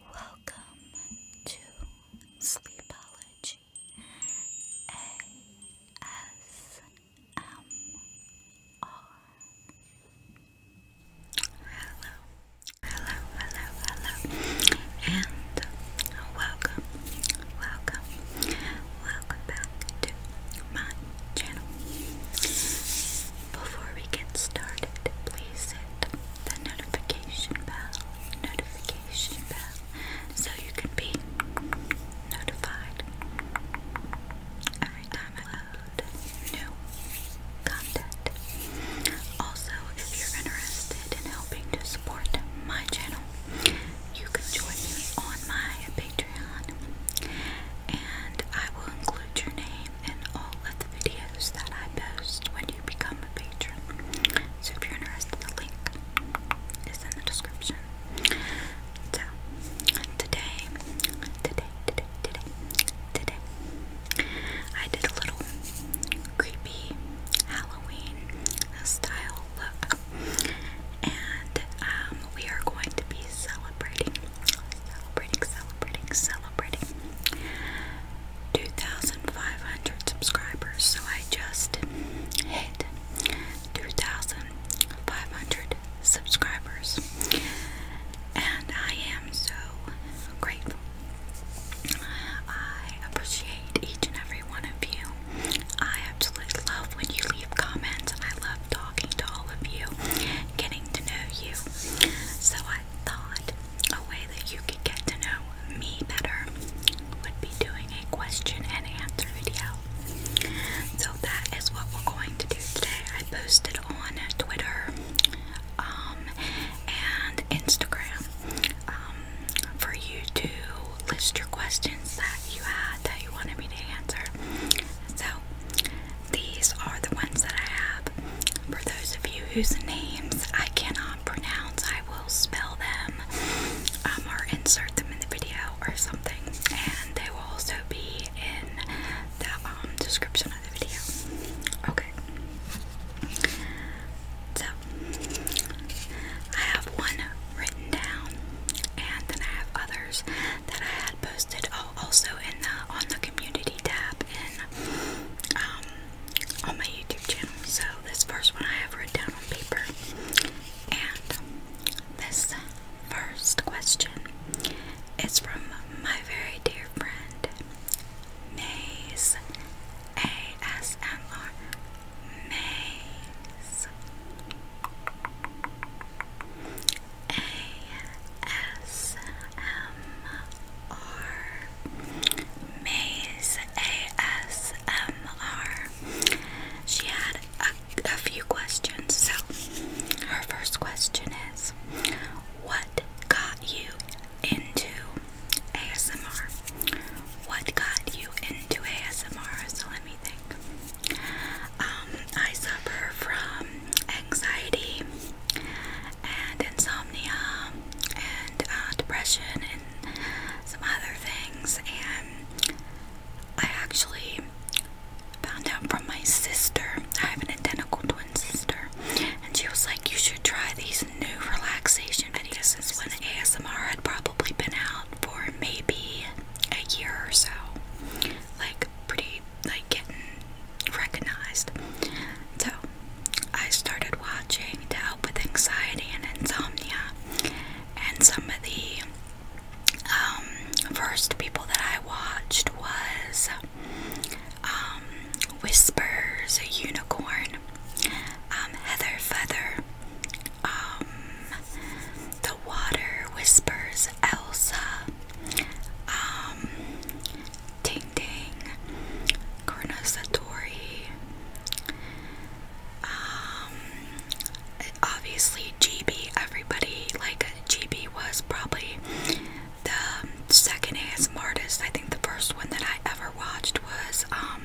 Welcome to Sleepology ASMR. Hello, hello, hello, hello, and welcome, welcome, welcome back to my channel. Before we get started, please hit the notification bell, notification bell, so you can be notified every time I upload new content. Also, if you're interested in helping to support my channel, you can join me on my Patreon. And I will include your name and all of the videos that I post when you become a patron. So if you're interested, the link is in the description. So today, today, today, today, today, I did a little creepy Halloween style look, and um, we are going to be celebrating celebrating, celebrating, celebrating 2,500 subscribers. So I just hit 2,500 subscribers, and I am so grateful. I appreciate each and every one of you. I absolutely love when you leave comments, and I love talking to all of you, getting to know you. So I thought a way that you could get to know me better would be doing a question and answer video. So that is what we're going to do today. I posted on Twitter um, and Instagram um, for you to list your questions that you had that you wanted me to answer. So these are the ones that I have. For those of you whose names I cannot pronounce, I will spell them um, or insert them in the video or something, and they will also be in the um, description of the video. Okay. So, I have one written down, and then I have others that I posted also in the on the community tab in um, on my YouTube channel. So this first one I have written down on paper, and this first question is from my very dear friend Maze ASMR Maze. ASMR Maze ASMR. She had a, few questions. So, her first question is What got you into ASMR? What got you into ASMR? So, let me think. Um, I suffer from anxiety and insomnia and uh, depression and some other things. And I actually found out from my sister. I have an identical twin sister, and she was like, "You should try these new relaxation videos." Since when ASMR had probably been out for maybe a year or so, like pretty like getting recognized. So I started watching to help with anxiety and insomnia, and some of the um, first people that I watched was um, Whispers, Unicorn, um, Heather Feather, The Water Whispers, Elsa um, Ting Ting, Karna Satori, um, obviously GB, everybody, like GB was probably the second ASMR artist. I think the first one that I ever watched was um,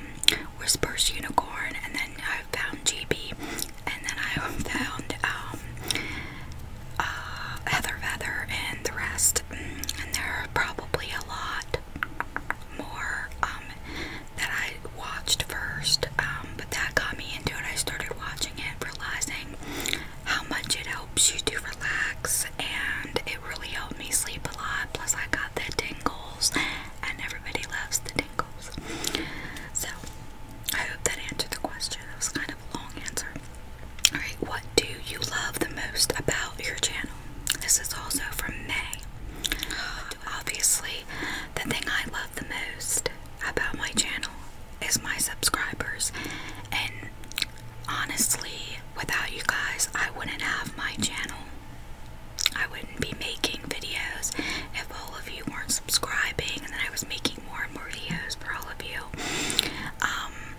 Whisper's Unicorn, and then I found GB and then I found um, uh, Heather and the rest, and there are probably a lot more um, that I watched first, um, but that got me into it. I started watching it, realizing how much it helps you to relax, and it really helped me sleep a lot. Plus, I got the tingles, and everybody loves the tingles. So, I hope that answered the question. That was kind of a long answer. Alright, what do you love the most about your channel? This is also from May. Obviously, the thing I love the most about my channel is my subscribers. And honestly, without you guys, I wouldn't have my channel. I wouldn't be making videos if all of you weren't subscribing and then I was making more and more videos for all of you. Um,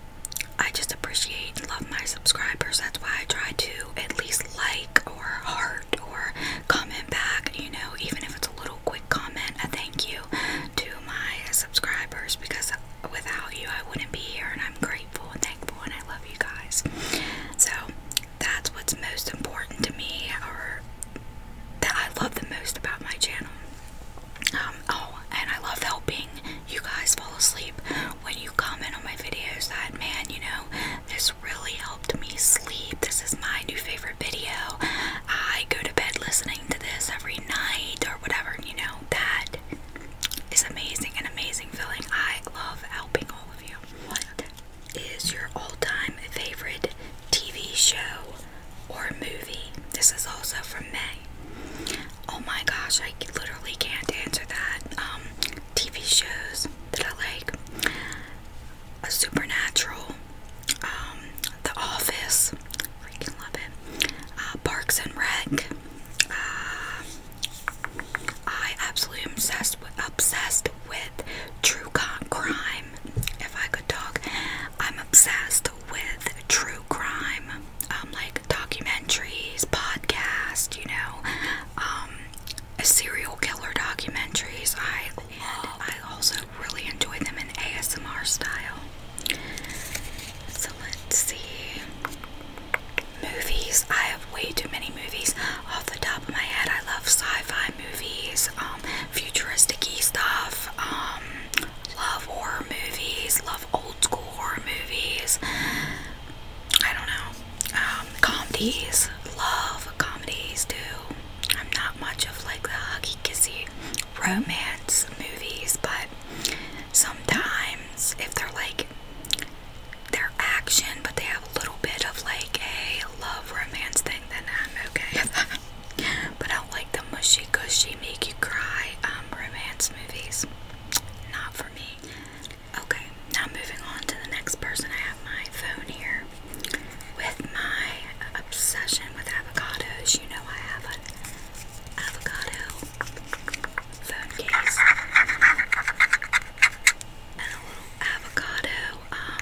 I just appreciate and love my subscribers. That's why I try to at least like or heart or comment back, you know, even if it's a little quick comment. A thank you to my subscribers because without you, I wouldn't be here, and I'm grateful and thankful, and I love you guys. So, that's what's most important to me, or that I love the most about my channel. Um, oh, and I love helping you guys fall asleep when you comment on my videos that, man, you know, this really helped me sleep. This is my new favorite video. I go to bed listening to this every night or whatever, you know, that is amazing, and amazing feeling. I love helping all of you. What is your all-time favorite TV show or movie? This is also from May. Oh my gosh, I literally can't answer that. Um, TV shows that I like: Supernatural, um, The Office. Freaking love it. Uh, Parks and Rec. Uh, I absolutely obsessed with obsessed with true crime. If I could talk, I'm obsessed with true crime, um, like documentaries, podcasts, you know, um, serial killer documentaries. I I also really enjoy them in ASMR style. So let's see. Movies. I have way too many movies off the top of my head. I love sci-fi movies. Um, futuristic-y stuff. Um, love horror movies, love old school horror movies. I don't know. Um, comedies, love comedies too. I'm not much of like the huggy kissy romance movies, but sometimes if they're like they're action, but they have a little bit of like a love romance thing then I'm okay But I don't like the mushy gushy, make you cry um, romance movies. Not for me. Okay, now moving on to the next person. I have my phone here with my obsession with avocados. You know, I have an avocado phone case and a little avocado um,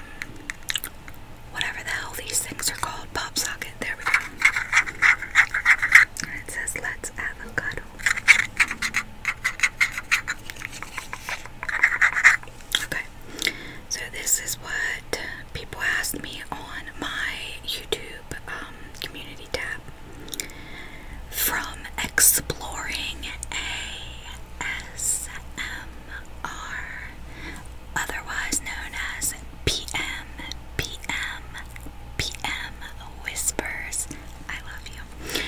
whatever the hell these things are called, pop socket. There we go. And it says let's avocado. Okay, so this is what people asked me on my YouTube um, community tab. From exploring ASMR are otherwise known as PM, PM, PM Whispers. I love you.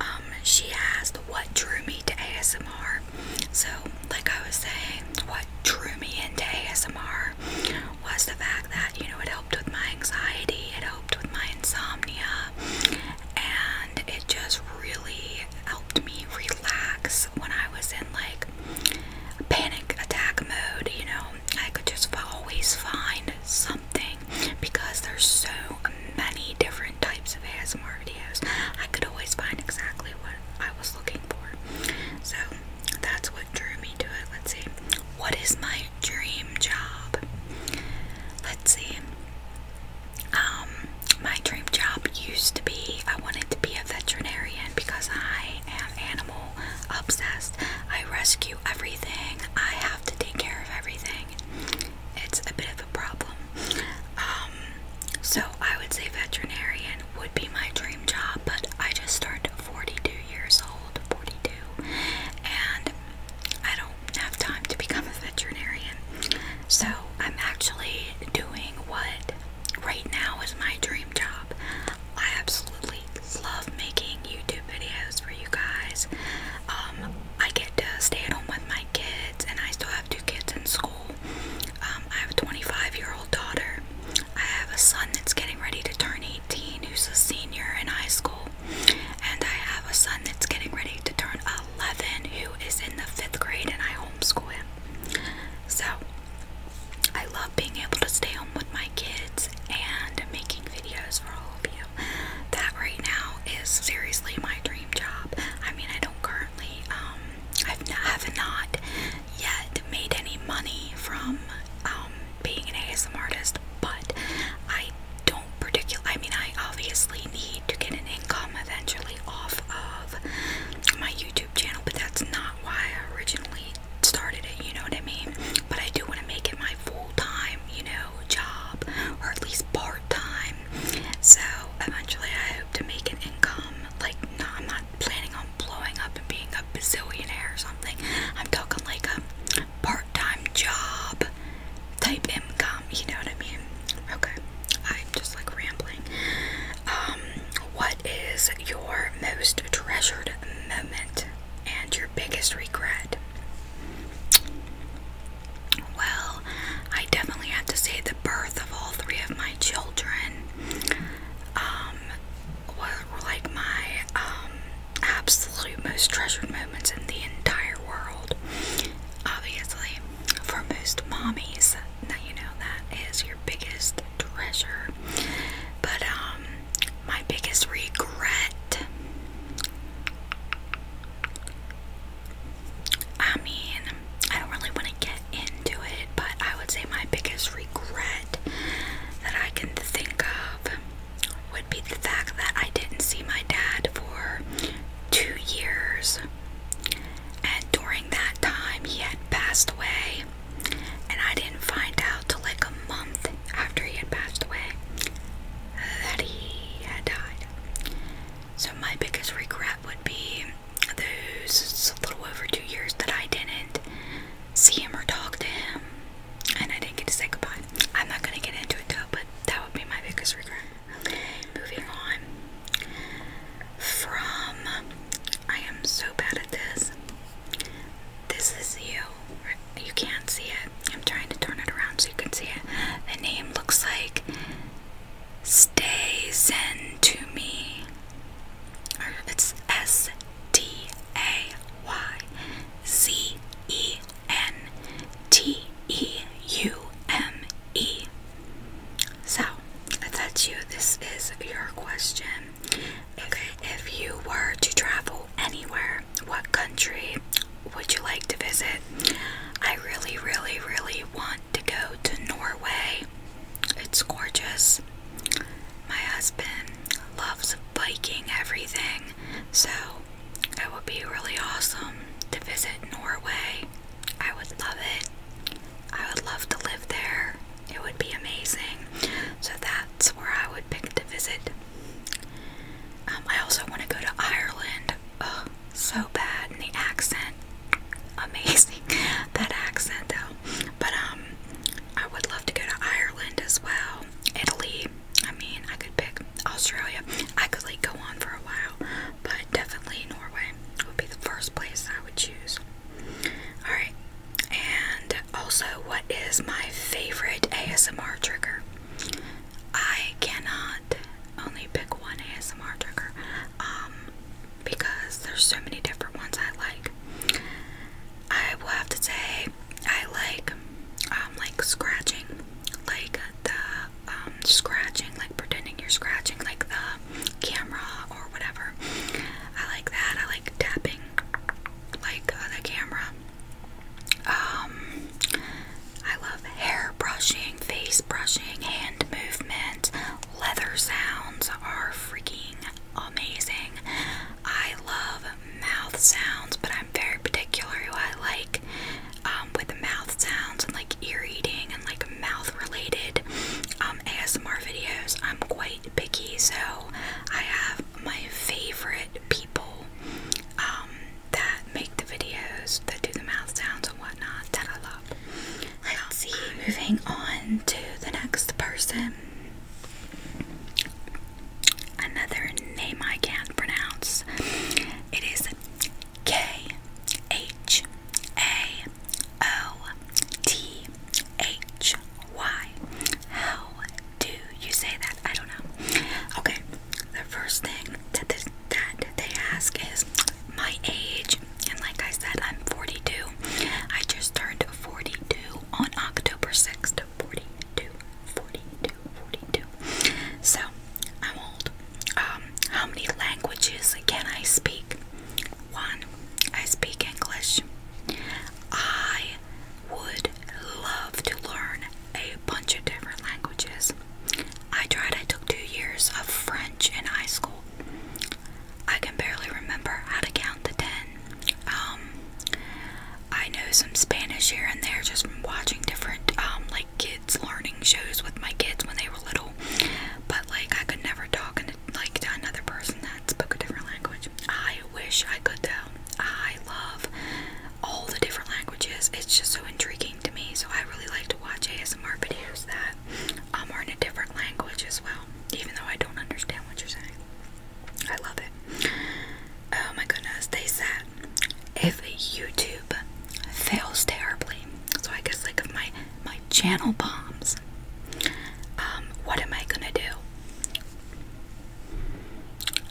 Um, she asked What Drew Me to ASMR. So, like I was saying, what drew me into ASMR was the fact that, you know, it helped with my anxiety, it helped with my insomnia, and it just really helped me relax when I was in like panic attack mode, you know. I could just always find something because there's so many different types of ASMR videos. I could always find exactly what I was looking for. So that's what drew me to it. Let's see. What is my dream job? Let's see um, my dream job used to be I wanted to be a veterinarian because I am animal obsessed. I rescue everything, I have to take care of everything. It's a bit of a problem. Um, so I would say veterinarian would be my dream job, but I just turned 42 years old, 42, and I don't do have time to become a veterinarian. So I'm actually doing what right now is my dream job. I absolutely love making YouTube videos for you guys. Um, I get to stay at home with my kids, and I still have two kids in school. Um, I have a 25 year old daughter. I have a son that's getting ready to turn 18 who's a senior in high school. And I have a son that's getting ready to turn 11 who is in the fifth grade, and I homeschool him. So I love being able to stay home with my kids and making videos for all of you. That right now is seriously my dream job. I mean, I don't currently, um, I've not, yet made any money from um, being an ASM artist, but I don't particular, I mean, I obviously need to get an income eventually off of my YouTube channel, but that's not why I originally started it, you know what I mean? But I do want to make it my full time, you know, job, or at least part time. So eventually, I hope to make an income. Like, I'm not planning on blowing up and being a billionaire or something. I'm talking like a part time job type M gum. you know what I mean? Okay, I'm just like rambling. Um, what is your most treasured moment and your biggest regret? Well, I definitely have to say the birth of all three of my children. Um, like my um, absolute most treasured moments in the entire world. Obviously, for most mommies, now you know that is your biggest treasure. But um, my biggest regret. I mean, I don't really want to get into it, but I would say my biggest regret that I can think of would be the fact that I didn't see my dad for two years. And during that time, he had passed away. And I didn't find out till like a month after he had passed away that he had died. So, my biggest regret would be those little over two years that I didn't see him or talk to him. And I didn't get to say goodbye. I'm not going to get into it though, but that would be my biggest regret. Okay, moving on. From I am so bad at this. This is you. You can't see it. I'm trying to turn it around so you can see it. The name looks like Stay Zen to me. Or it's S T A Y Z E N-T-E-U-M-E. So, that's you. This is your question. if you were to travel anywhere, what country would you like to visit? I really, really, really want to go to Norway. It's gorgeous. My husband loves biking everything. So it would be really awesome to visit Norway. I would love it. I would love to live there. It would be amazing. So that's where I would pick to visit. Um, I also want to go to Ireland. Oh, so bad. And the accent. Amazing. that accent, though. But, um, I would love to go to Ireland as well. Italy. I mean, I could pick Australia. I could like go on for a while, but definitely Norway would be the first place I would choose. All right. And also, what is my favorite ASMR trigger? I cannot only pick one ASMR trigger um, because there's so many different ones I like. I will have to say I like um like scratching like the um scratching like pretending you're scratching like the camera or whatever. I like that. I like tapping like uh, the camera. Um I love hair brushing, face brushing, hand movement, leather sounds are freaking amazing. I love mouth sounds, but I'm very particular who I like um, with mouth sounds and like ear eating and like mouth related um, ASMR videos. I'm quite picky, so I have my favorite people um, that make the videos that do the mouth sounds and whatnot that I love. Let's see, moving on to the next person another name I can't pronounce. It is K H A O T H Y. How do you say that? I don't know. Okay, the first thing that they ask is my age, and like I said, I'm 42. I just turned 42 on October 6th to So, I'm old. Um, how many languages can I speak? One, I speak English. I would love to learn a bunch of different languages. I tried, I took two years of French in high school. I can barely remember how to count the 10. Um, I know some Spanish here and there just from watching different um like kids learning shows with my kids when they were little. But like I could never talk and like to another person that spoke a different language. I wish I could though. I love all the different languages. It's just so intriguing to me. So I really like to watch ASMR videos that um, are in a different language as well, even though I don't understand what you're saying. I love it. Oh my goodness, they said if YouTube fails terribly, so I guess like my my channel bombs, um, what am I gonna do?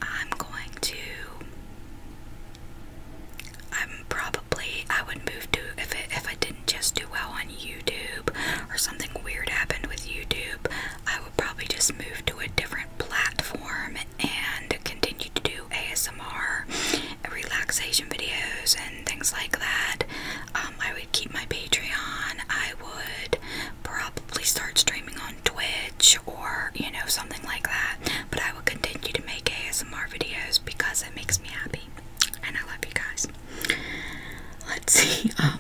I'm going to. I'm probably I would move to if if I didn't just do well on YouTube or something weird happened with YouTube. I I would probably just move to a different platform and continue to do ASMR relaxation videos and things like that. Um, I would keep my Patreon. I would probably start streaming on Twitch or, you know, something like that. But I will continue to make ASMR videos because it makes me happy. And I love you guys. Let's see. Um,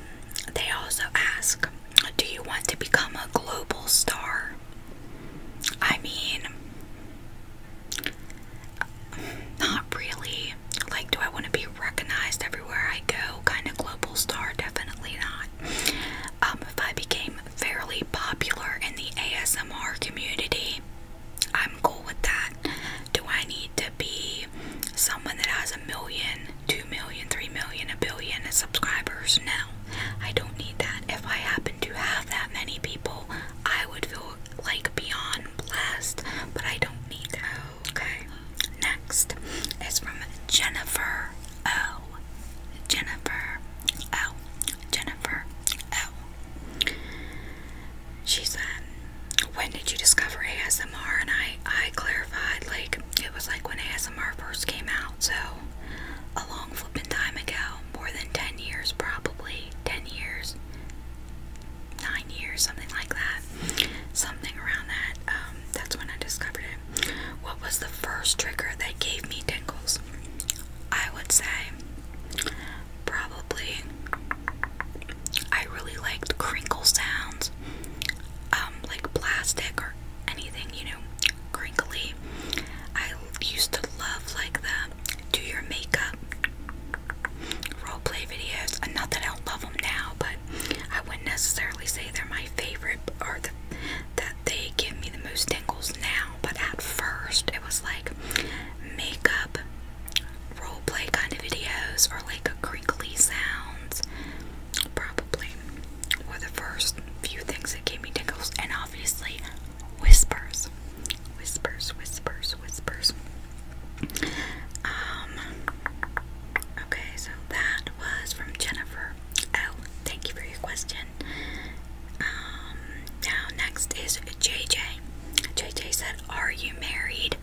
they also ask do you want to become a global star? I mean, not really. Like, do I want to be recognized everywhere I go? Kind of global star? Definitely not. Um, if I became fairly popular in the ASMR community, I'm cool with that. Do I need to be someone that has a million 2 million, 3 million, a billion subscribers. No, I don't need that. If I happen to have that many people, I would feel like beyond blessed, but I don't need that. Okay, next is from Jennifer O. Jennifer O. Jennifer O. She said, When did you discover ASMR? And I, I clarified, like, it was like when ASMR first came out, so a long flipping time ago, more than 10 years probably, 10 years, 9 years, something like that, something around that, um, that's when I discovered it. What was the first trigger that gave me tingles? I would say probably I really liked crinkle sounds um, like plastic or anything, you know, crinkly. I used to love like the do your makeup role play videos. And not that I do love them now, but I wouldn't necessarily say they're my favorite or that they give me the most tingles now. But at first, it was like makeup role play kind of videos or like crinkly sounds probably were the first few things that gave me tingles, and obviously whispers, whispers, whispers, whispers. Um. Okay, so that was from Jennifer. Oh, thank you for your question. Um. Now next is JJ. JJ said, "Are you married?"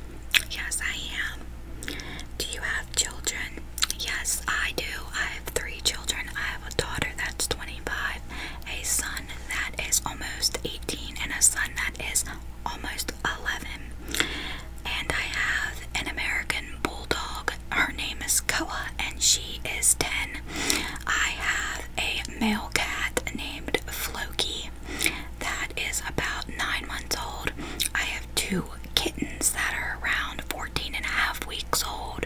Yes, I am. Do you have children? Yes, I do. I have three children. I have a daughter that's 25, a son that is almost 18, and a son that is almost 11. And I have an American bulldog. Her name is Koa, and she is 10. I have a male cat named Floki that is about nine months old. I have two kittens that are around 14 and a half weeks old,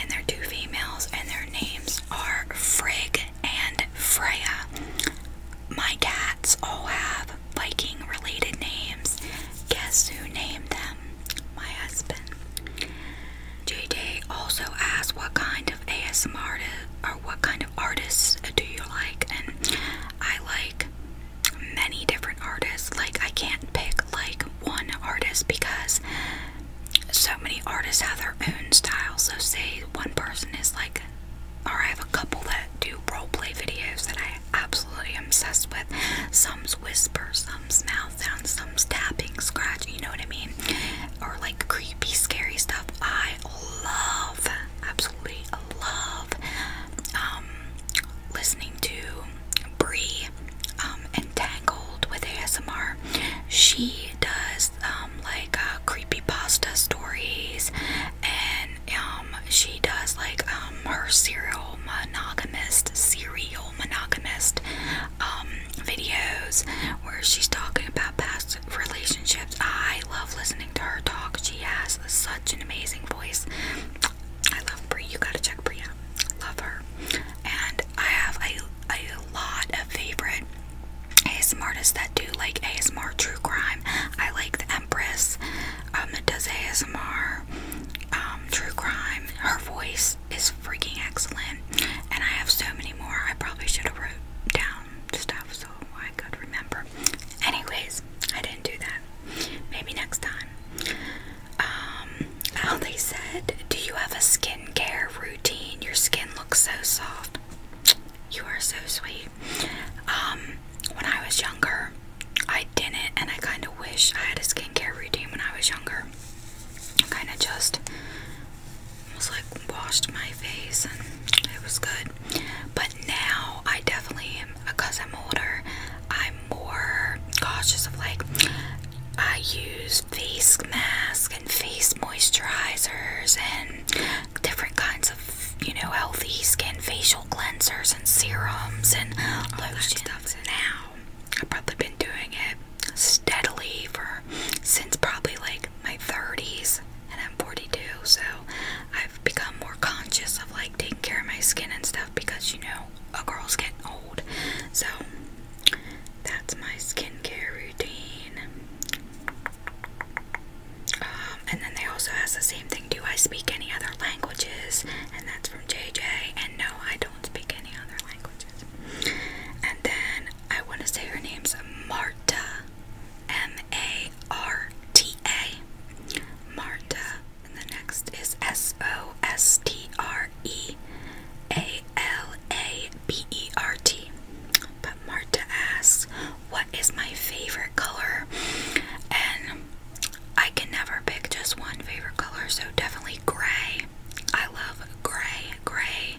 and they're two females, and their names are Frigg and Freya. My cats all have Viking related names. Guess who named them? My husband. JJ also asked what kind of ASMR or what kind of artists do you like, and I like many different artists. Like, I can't pick like one artist because so many artists have their own style. So, say one person is like, or I have a couple that do role play videos that I absolutely am obsessed with. Some's whisper, some's mouth sound, some's tapping, scratch. you know what I mean? Or like creepy, scary stuff. I love, absolutely love um listening to Brie Entangled um, with ASMR. She does um, like uh, creepy pasta stories, and um, she does like her serial monogamist, serial monogamist videos where she's talking about past relationships. I love listening to her talk. She has such an amazing voice. I love Brie. You gotta check Brie out. Love her. And I have a, a lot of favorite ASMR artists that do like ASMR true crime. I like the Empress um, does ASMR um, true crime. Her voice is freaking excellent. And I have so many more. I probably should have wrote down stuff so I could remember. Anyways, I didn't do that. Maybe next time. how um, they said, do you have a skincare routine? Your skin looks so soft. You are so sweet. Um, when I was younger, I didn't, and I kind of wish I had a skincare routine when I was younger. I kind of just was like washed my face, and it was good. But now I definitely am because I'm older, I'm more cautious of like I use face masks and face moisturizers and different kinds of you know healthy skin facial cleansers and serums and all oh, that stuff now. I've probably been doing it steadily for since probably like my 30s and I'm 42 so I've become more conscious of like taking care of my skin and stuff because you know a girl's getting old. So that's my skincare routine. Um, and then they also ask the same thing: Do I speak any other languages? And that's from JJ. And no, I don't speak any other languages. And then I want to say her name's Marta. M A R T A. Marta. And the next is S O S T R E A L A B E R T. But Marta asks, What is my favorite color? And I can never pick just one favorite color, so definitely gray. I love gray, gray,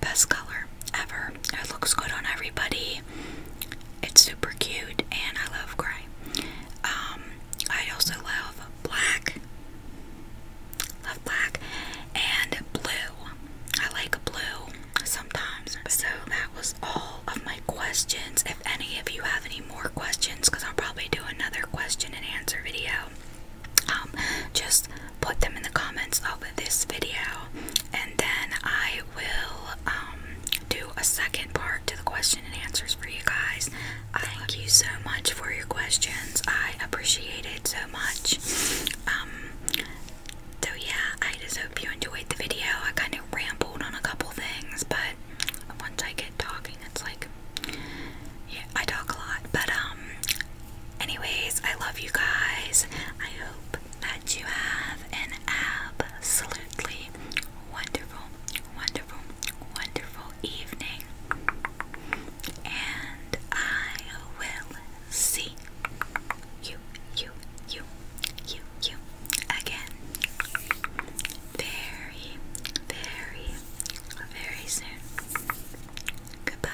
best color ever. It looks good on everybody. It's super cute and I love gray. Um, I also love black. Love black and blue. I like blue sometimes. So that was all of my questions. If any of you have any more questions, because I'll probably do another question and answer video, um, just put them in the comments of this video and then I will um, do a second part to the question and answers for you guys. Thank you so much for your questions. I appreciate it so much. Um, so yeah, I just hope you enjoyed the video. I kind of rambled on a couple things, but once I get talking, it's like, I talk a lot. But um, anyways, I love you guys. I hope that you have an absolutely wonderful, wonderful, wonderful evening. And I will see you, you, you, you, you again very, very, very soon. Goodbye.